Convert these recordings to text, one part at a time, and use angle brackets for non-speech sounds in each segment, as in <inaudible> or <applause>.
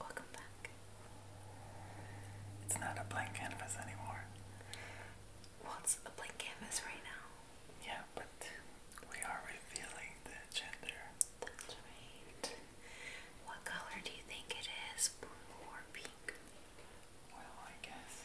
Welcome back. It's not a blank canvas anymore. What's a blank canvas right now? Yeah, but we are revealing the gender. What color do you think it is? Blue or pink? Well, I guess.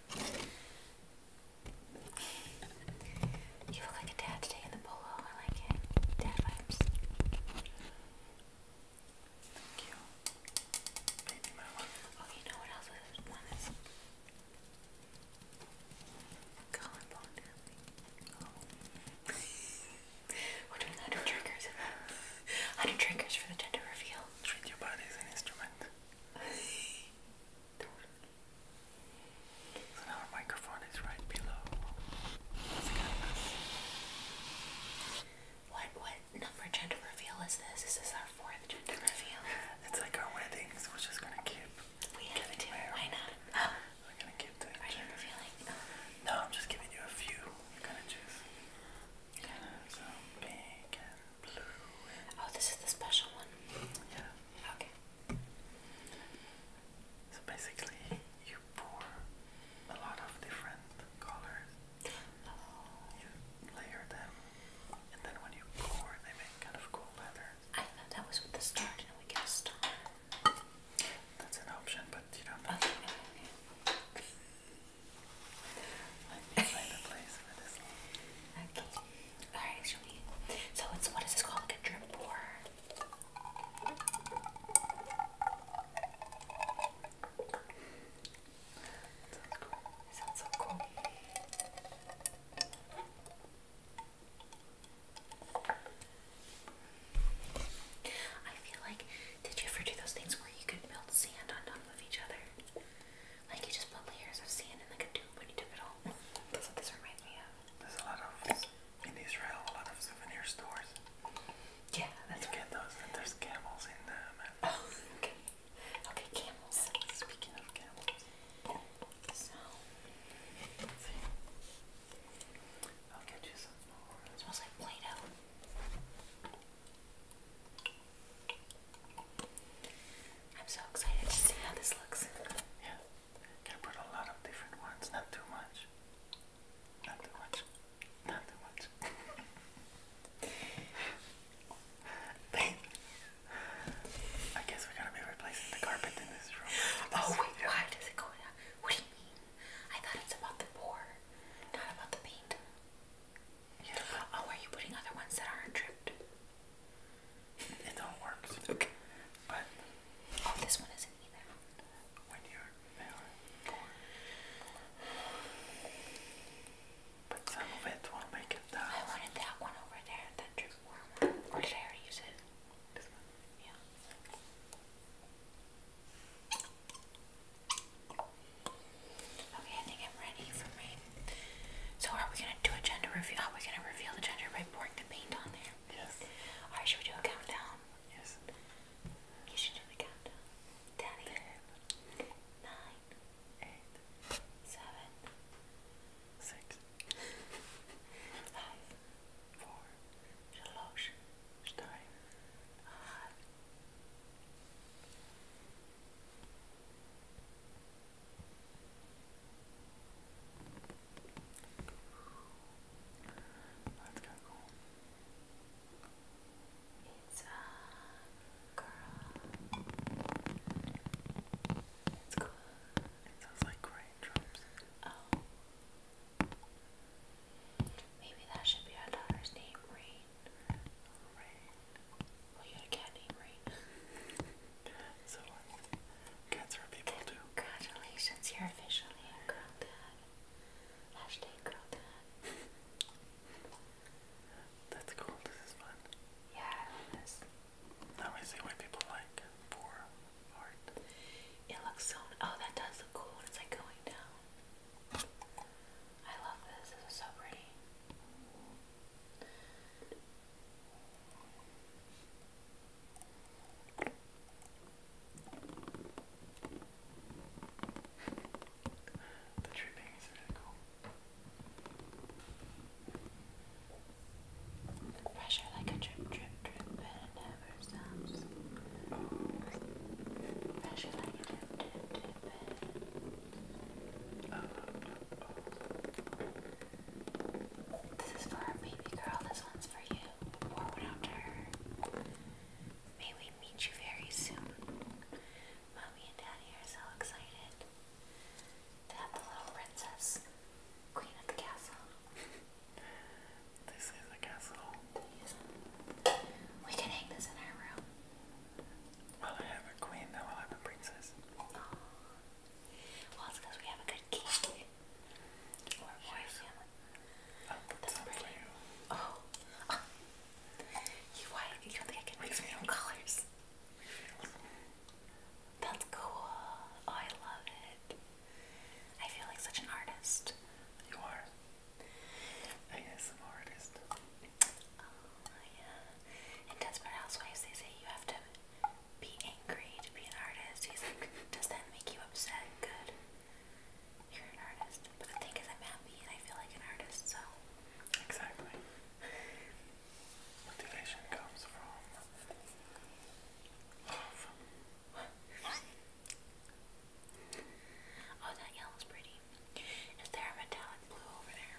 You look like a dad today in the polo. I like it. Dad vibes. Thank you. Oh, you know what else this one is? We're doing 100 triggers. 100 <laughs> triggers for the gender reveal. Treat your body as an instrument. So now our microphone is right below. What what number gender reveal is this? Is this our fourth gender reveal? It's like our weddings. We're just gonna keep. We have to. Why not? We're gonna keep doing. Are you revealing? No. Um, no, I'm just giving you a few. You're gonna choose. Oh, this is the special one. Yeah. Okay. So basically you pour a lot of different colors. Oh. You layer them and then when you pour they make kind of cool leather. I thought that was with the star, did we get a star? That's an option, but you know. Find a place for this So it's what is this called? Like a drip pour? sounds so cool. I feel like, did you ever do those things where you could build sand on top of each other? Like you just put layers of sand in like a tube when you took it home. That's what this reminds me of. There's a lot of in Israel, a lot of souvenir stores. Yeah, that's you get those. there's camels in them. Oh, <laughs> okay. Okay, camels. Speaking of camels, I'll get you some more. smells like Play-Doh. I'm so excited to see how this looks. Yeah, can put a lot of different ones, not too much. Not too much. Not too much. <laughs> I guess we're to be replacing the carpet in this room. oh wait, why does it go down? What do you mean? I thought it's about the pour, not about the paint. Oh, are you putting other ones that aren't tripped? It all works. Okay. But oh, this one isn't either. When you're there, but some of it will make it I wanted that one over there, that drip warm Or did I already use it? This one. Yeah. Okay, I think I'm ready for my. So, are we gonna do a gender reveal? Are we gonna reveal the gender by pouring the paint on there? Yes. Alright, should we do a countdown? Yes. You should do the countdown. Daddy. It's a girl. It's cool. It sounds like raindrops. Oh. Maybe that should be our daughter's name, Rain rain. Well, you a cat named Rain. <laughs> so um, Cats are people too. Congratulations, you're officially a girl dad. Hashtag girl That's cool, this is fun. Yeah, I love this. Now I see why people like for art. It looks so, oh that does look cool it's like going down. I love this, this so pretty. The dripping is really cool. pressure like a drip, drip, drip, and it never stops. Pressure like a drip, drip, drip, and... This is for our baby girl, this one's for you. Pour one out to her. May we meet you very soon. Mommy and Daddy are so excited to have the little princess, queen of the castle. this is the castle. We can hang this in our room. Well, I have a queen, now i have a princess. Well, it's because we have a good king. Oh, that's oh. oh. You, why? You don't think I can mix my own colors? That's cool. Oh, I love it. I feel like such an artist. You are. I guess an artist. Oh, yeah in Desperate Housewives, they say you have to be angry to be an artist. He's like, does that make you upset? Good. You're an artist. But the thing is, I'm happy and I feel like an artist, so. Exactly. Motivation comes from love. Oh, oh, that yellow's pretty. Is there a metallic blue over there?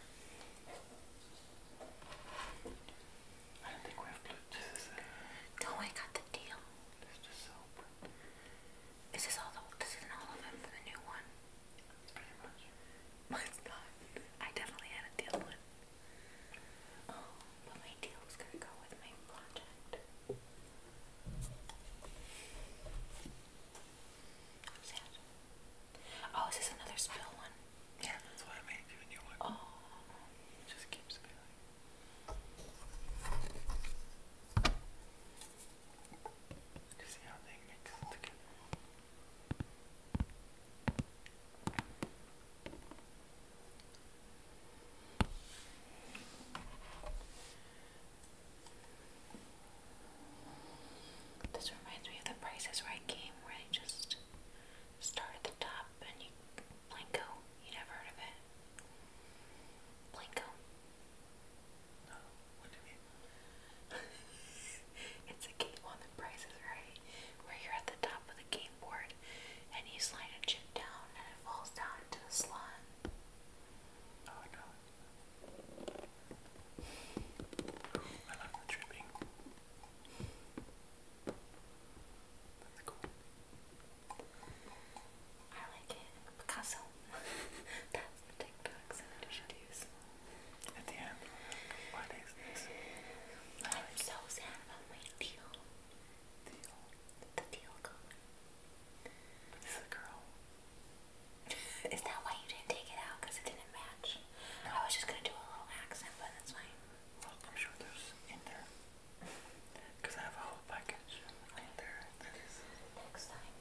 I do uh, No, I got the deal. There's the soap. Is this all the, this is all of them for the new one? Pretty I definitely had a deal Oh, but my deal was gonna go with my project. sad. Oh, is this another spill one? Yeah, that's why I made Oh. It just keep spilling. This reminds me of the Price is Right game where they just start at the top and you Blanco. You never heard of it? Blanco. No. What do you mean? <laughs> it's a game on the prices, right? Where you're at the top of the game board and you slide a chip down and it falls down into the slot. no. I love the that's I like it. Picasso. <laughs> That's the TikTok sound I should At the end. What is this? I'm so sad about my deal. Deal? The deal going. girl. <laughs> Is that why you didn't take it out? Because it didn't match? I was just going to do a little accent, but that's fine. I'm sure there's in there. Because I have a whole package in there that is next time.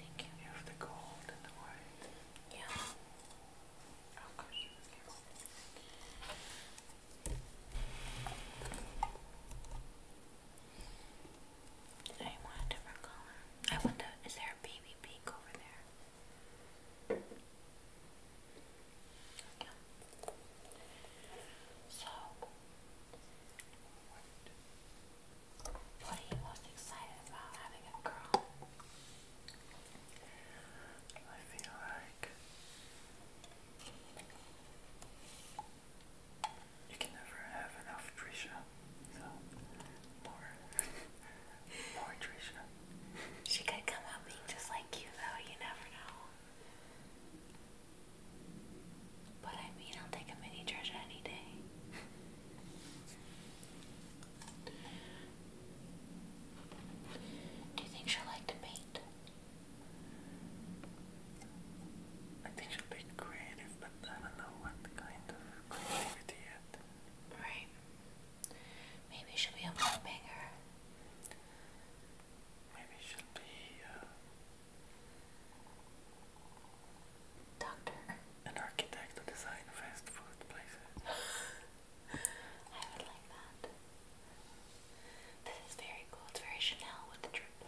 Thank you. have the gold and the white. Yeah. Oh gosh. I want a different color. I wonder, is there a baby pink over there? Okay. So, what, what are you most excited about having a girl? I feel like you can never have enough Trisha. So more <laughs> more Trisha. She could come out being just like you though, you never know. But I mean I'll take a mini Trisha any day. <laughs> Do you think she'll to paint? I think she'll be creative, but I don't know what kind of creativity yet. Right. Maybe she'll be a pop Maybe she'll be uh, Doctor. An architect to design fast food places. <laughs> I would like that. This is very cool. It's very Chanel with the drip.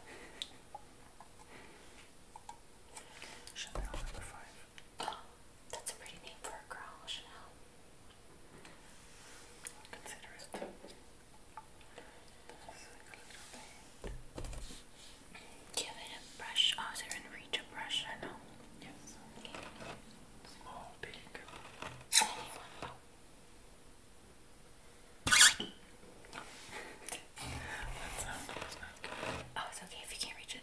Chanel number five. <gasps> that's a pretty name for a girl, Chanel. Give it a brush. Oh, is there brush? I Yes. Small, big. Anyone. Oh. Oh, it's okay if you can't reach it,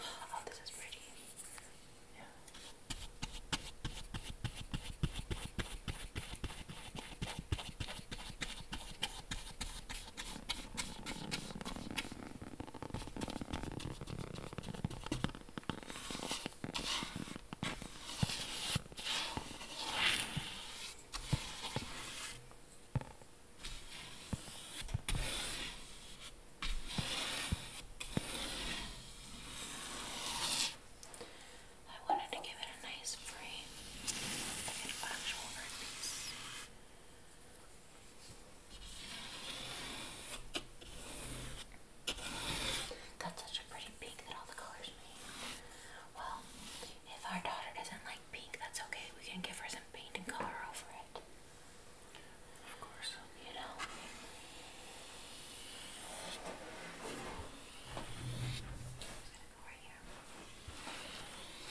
Wow. Oh, this is pretty. Yeah. I wanted to give it a nice frame, like an actual art piece. That's such a pretty pink that all the colors mean. Well, if our daughter doesn't like pink, that's okay. We can give her some paint and color over it. Of course. You know.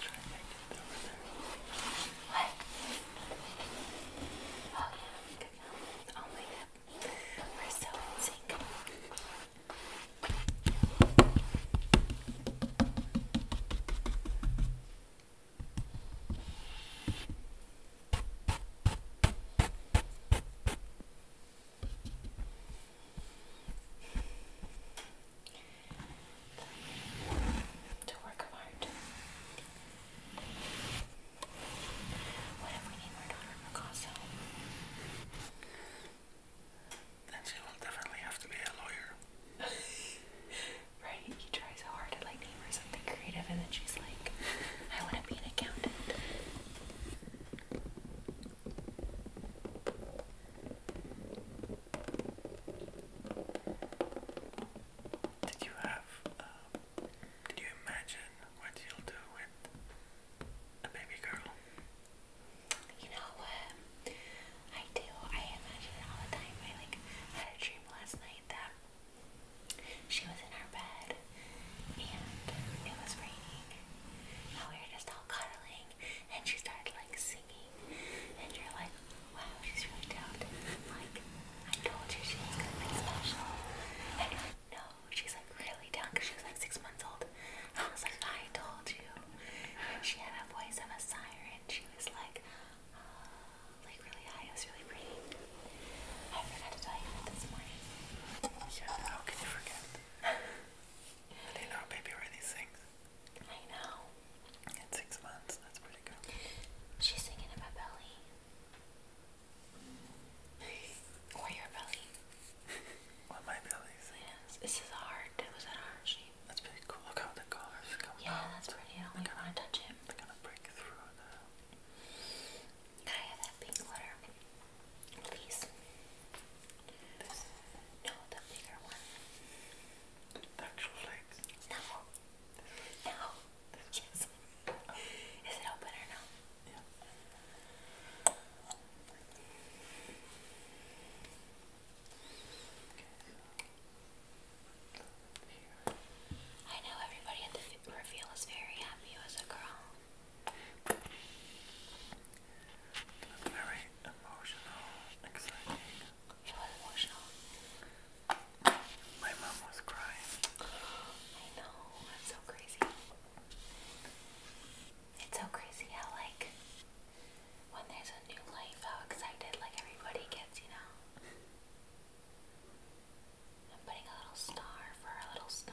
Try and make it over there. What? Oh yeah, good now. Oh my god. We're so in sync. Good. To work of art. What if we need more daughter Picasso? Then she will definitely have to be a lawyer. <laughs> right? He tries so hard to like name something creative and then she's like, I wanna be an accountant. Did you have, um, did you imagine what you'll do with a baby girl? You know, I do. I imagine it all the time. I like had a dream last night that she was in our bed and it was raining now we were just all cuddling and she started like singing and you're like, wow, she's really talented. Like, I told you she's was gonna be special. And you're like, no, she's like really down because she was like six months old. I was like, I told you. And she had a voice of a siren. She was like, uh, like really high. It was really pretty. I forgot to tell you that this morning. Yeah, <laughs> how can you forget? <laughs> Do you know how baby Riley sings? I know. At six months, that's pretty good. She's singing in my belly. or your belly. well, <laughs> my belly Yes, this is a was a heart That's pretty cool. Look how the colors come Yeah, that's pretty. I don't want to touch it. They're gonna break through the... Can I have that pink glitter? Please. No, the bigger one. The actual legs? No. No. Yes. Oh, is it open or no? Yeah. Okay, here. I know everybody at the reveal is very happy as a girl. Very emotional, exciting. emotional. My mom was crying. I know, that's so crazy. It's so crazy how like when there's a new life, how excited like everybody gets, you know. putting a little star for a little star.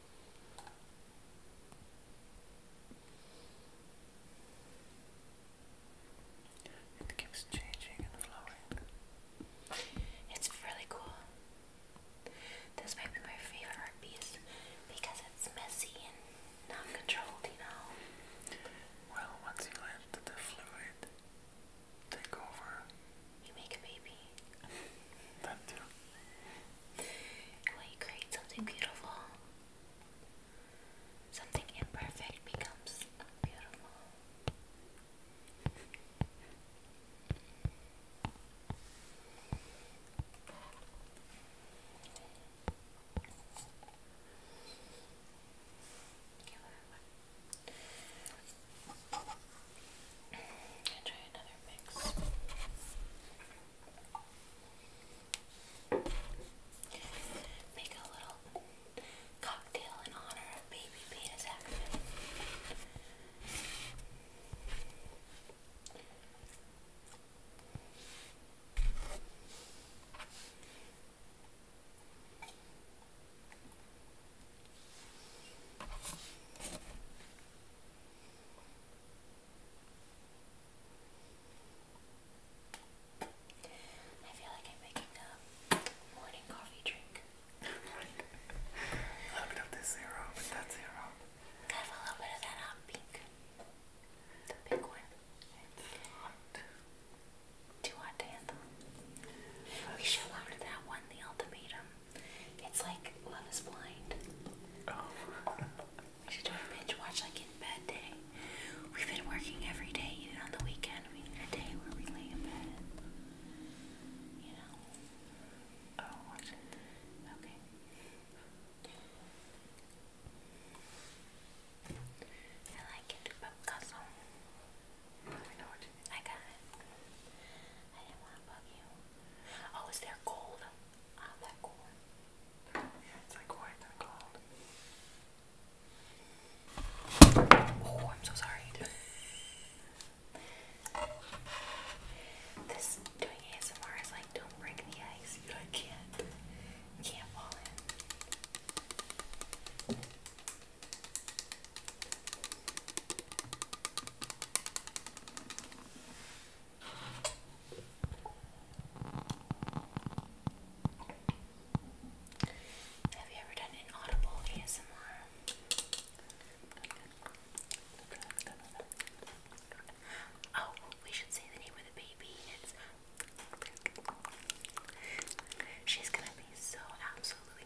It keeps changing and flowing. It's really cool. This might be my favorite piece because it's messy and not you know. Well, once you let the fluid take over, you make a baby. When you create something beautiful, something imperfect becomes beautiful. I'll Make a little cocktail in honor of baby Peter's accident. I feel like I'm making a morning coffee drink. a little bit of this zero, but that's zero. have a little bit of that hot pink. The pink one. It's hot. Too hot to handle. we should order that one, the ultimatum. It's like Love is Blind. Oh. we should do a binge watch like in bed day. We've been working every day, even on the weekend. We need a day where we lay in bed you know. Oh, Okay. I like it, but custom. I know what you mean. I got it. I didn't want to bug you. Oh, is there gold? Ah, oh, I'm so sorry. <laughs> this doing ASMR is like don't break the ice. You can't can't fall in. Have you ever done an audible ASMR? Oh, we should say the name of the baby. She's gonna be so absolutely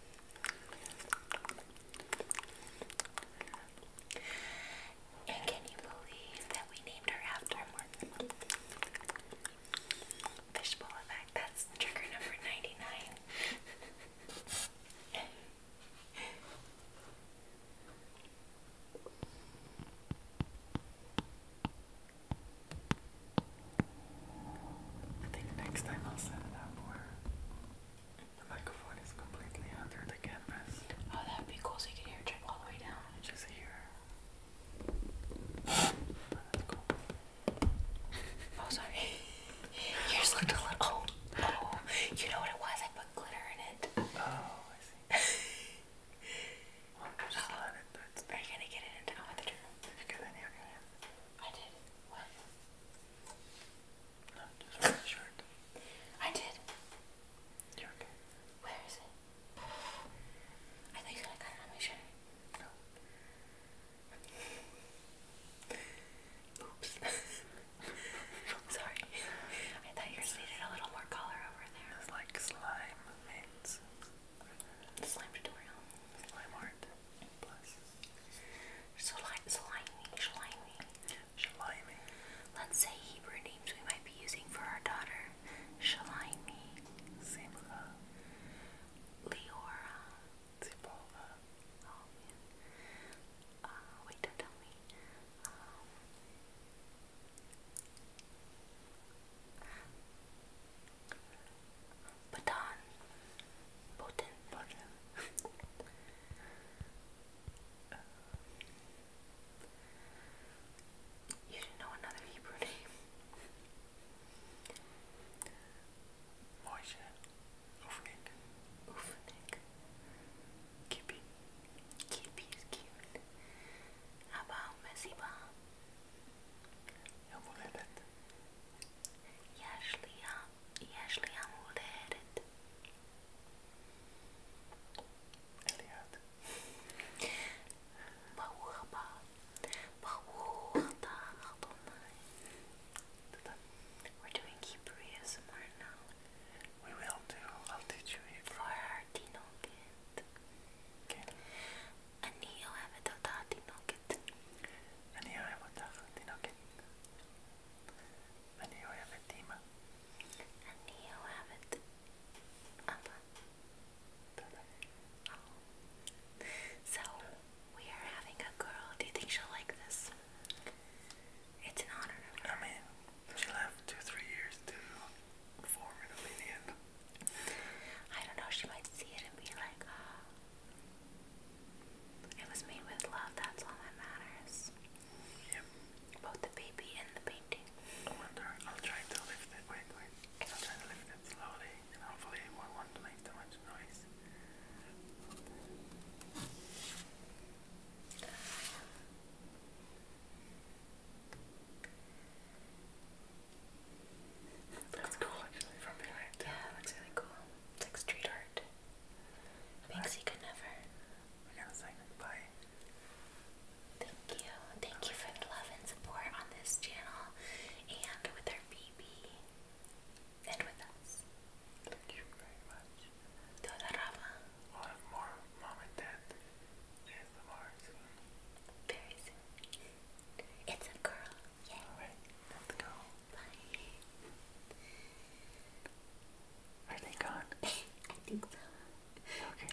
and can you believe that we named her after one? Fishbowl effect, that's trigger number 99. I think next time I'll set it up more. The microphone is completely under the canvas. Oh, that would be cool so you can hear it all the way down. Just here. Oh, sorry. <laughs> You're just looking oh, oh, you know what it was? I put glitter in it. Oh, I see. <laughs> just oh. let it. Are you going to get it into, oh, I did you get any on your hand? I did. What? No, just for the I did. Where is it? I thought you said I got it on my shirt. Oops. <laughs> Sorry. I thought yours needed a little more color over there. It's like slime mints. Slime tutorial. Slime art. Plus. So slimy, slimy. Shalimi. Let's say Hebrew names we might be using for our daughter. Shalimi. Simcha. Leora. Zipola. Oh man. Uh, wait, do tell me. Um, Baton. Botan. <laughs> You should know another Hebrew name. Moshe. Ufnik. Ufnik. Kippy. Kippy is cute. How about Mesiba? Jag moledet. Järsliga, Eliade. Bağurba. Bağurda Adonai. We're doing Hebrew ASMR now. We will do. I'll teach you Hebrew. For our Tinoket. Okay. Ani ohevet ota Tinoket. Ani Hani jag vet Dima? Hani jag vet Abba. Oh. So, we are having a girl. Do you think she'll like this? It's an honor. I mean, she'll two, three years to form an opinion. I don't know, she might see it and be like, oh, it was made with love, that's all that matters. Yep. Both the baby and the painting. I wonder, I'll try to lift it. Wait, wait. I'll try to lift it slowly and hopefully won't want to make too much noise. That's cool actually from behind. Yeah, looks really cool. It's like street art. Things could never. I gotta say goodbye. Thank you. Thank you for the love and support on this channel and with our BB and with us. Thank you very much. Todorama. A lot of more mom and dad and more soon. Very soon. It's a girl. Yay. All right. Let's Bye. Are they gone? <laughs> I think so. Okay.